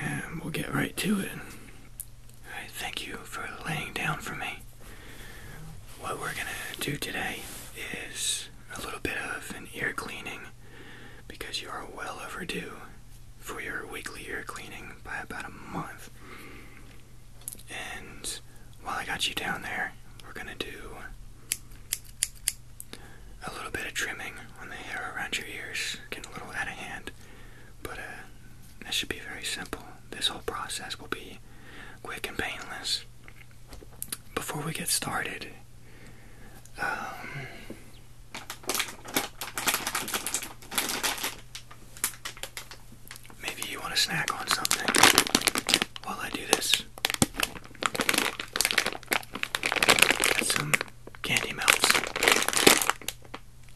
and we'll get right to it. thank you for laying down for me. What we're gonna do today is a little bit of an ear cleaning because you are well overdue for your weekly ear cleaning by about a month. And while I got you down there, we're gonna do a little bit of trimming on the hair around your ears, Get a little out of hand. But uh, this should be very simple. This whole process will be quick and painless. Before we get started, um, maybe you want to snack on something while I do this. Got some candy melts.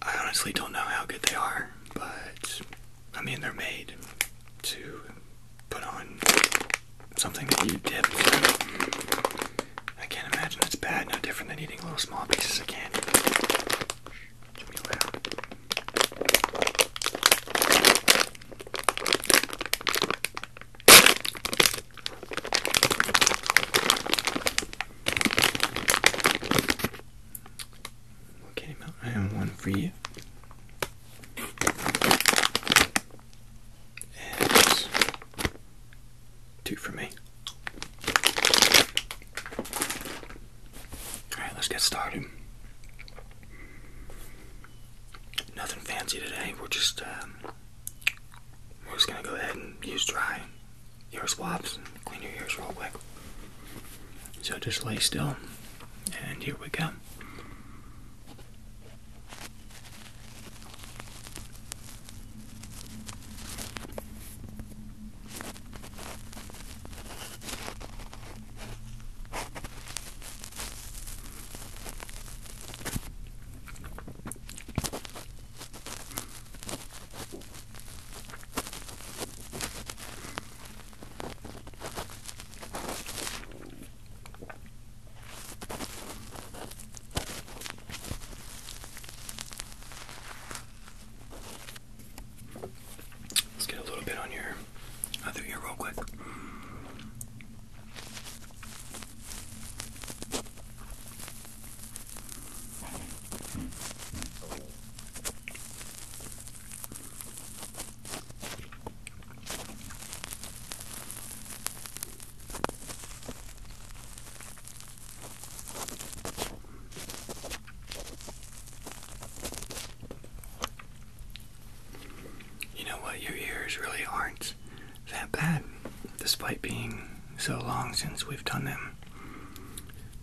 I honestly don't know how good they are, but I mean, they're made to put on something that you dip. I can't imagine it's bad, no different than eating little small pieces of candy. Okay, now I have one for you. And two for me. Alright, let's get started. Nothing fancy today, we're just um, we're just gonna go ahead and use dry your swabs and clean your ears real quick. So just lay still, and here we go. Let's get a little bit on your other uh, ear real quick. You know what? Your ears really aren't that bad despite being so long since we've done them.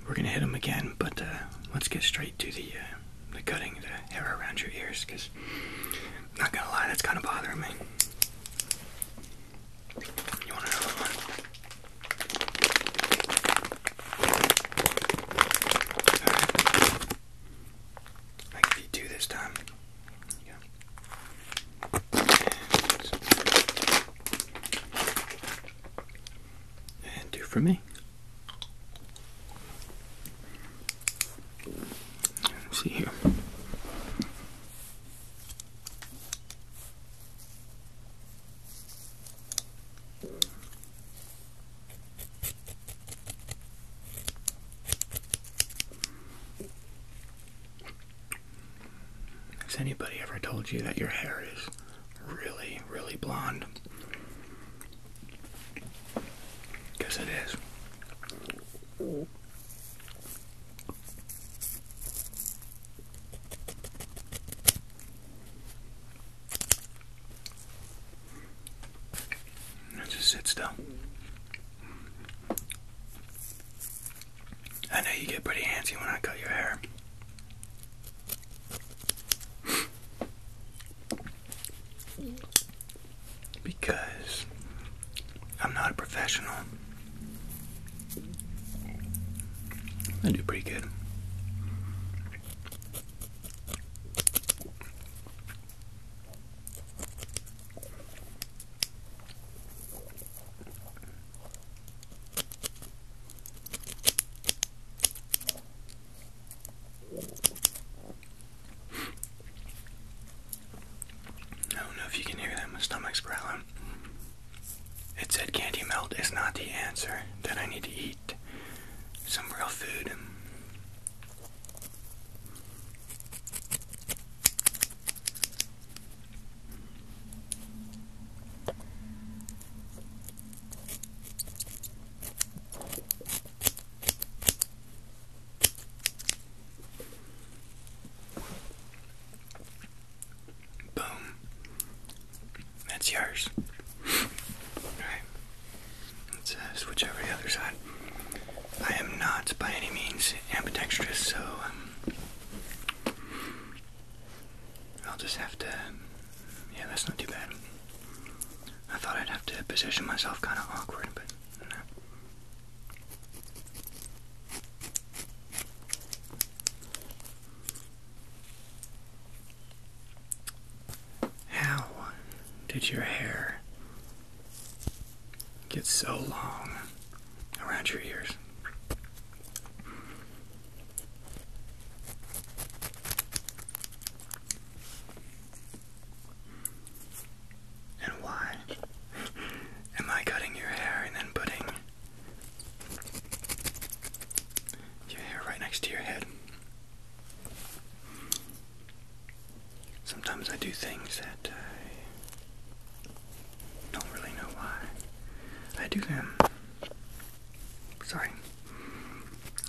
We're gonna hit them again, but uh, let's get straight to the uh, the cutting the hair around your ears, because not gonna lie, that's kind of bothering me. You want another one? I can do this time and two for me. see here. Has anybody ever told you that your hair is really, really blonde? Because it is. just sit still. I know you get pretty handsy when I cut your hair. Because I'm not a professional. I do pretty good. I don't know if you can hear that. My stomach's growling. It said candy melt is not the answer, that I need to eat some real food. Boom. That's yours. Alright. Let's uh, switch over to the other side. I am not by any means ambidextrous, so um, I'll just have to. Um, yeah, that's not too bad. I thought I'd have to position myself kind of awkward, but How did your hair get so long? around your ears. And why am I cutting your hair and then putting your hair right next to your head? Sometimes I do things that don't really know why I do them. Um, sorry.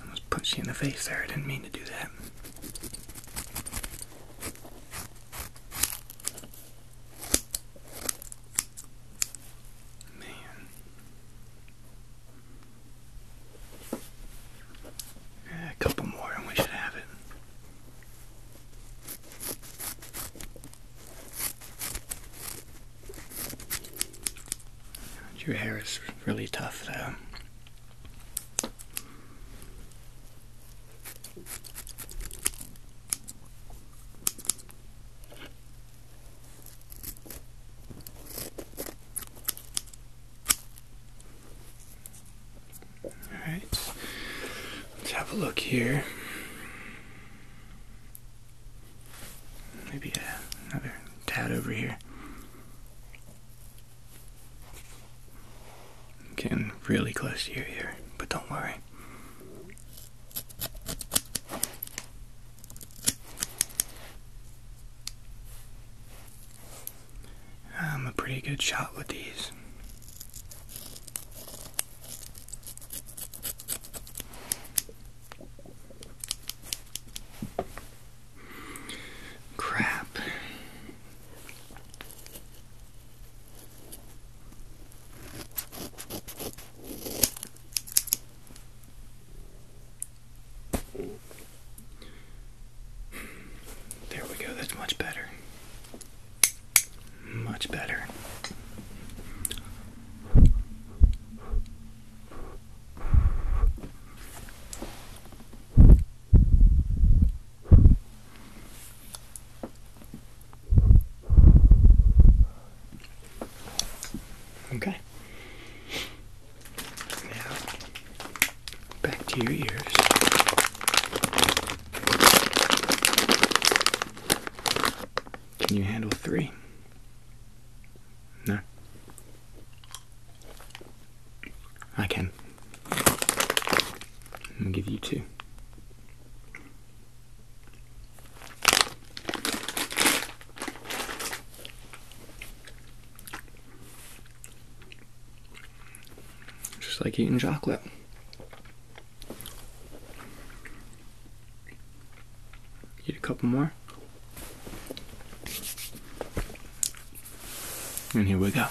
Almost punched you in the face there. I didn't mean to do that. Man. a couple more and we should have it. Your hair is really tough though. All right, let's have a look here. Maybe uh, another tad over here. getting really close to your ear, but don't worry. I'm a pretty good shot with these. Crap. There we go, that's much better. Much better. Okay. Now, back to your ears. Can you handle three? No. I can. I'm give you two. Just like eating chocolate. Eat a couple more. And here we go. Okay.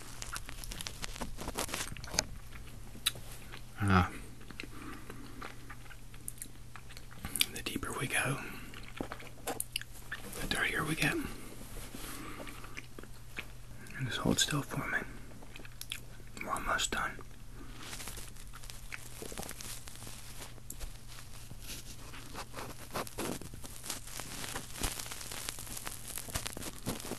Ah, the deeper we go, the dirtier we get. And just hold still for me. We're almost done.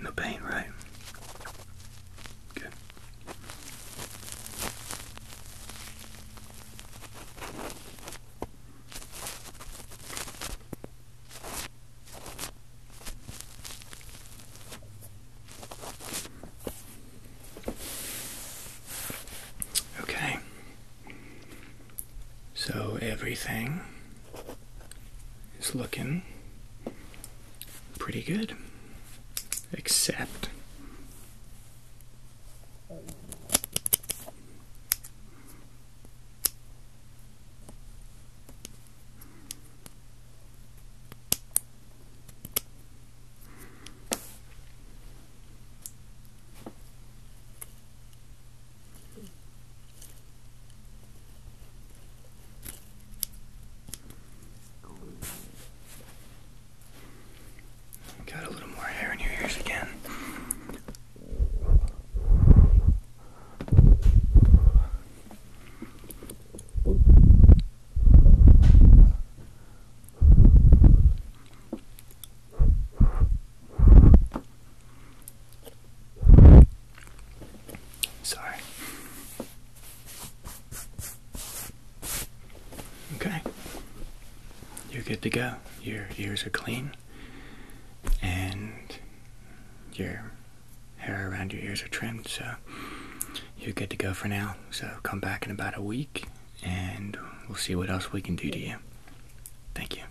No pain, right? Good. Okay. So everything it's looking pretty good, except Got a little more hair in your ears again. Sorry. Okay. You're good to go. Your ears are clean and your hair around your ears are trimmed, so you're good to go for now. So come back in about a week and we'll see what else we can do to you. Thank you.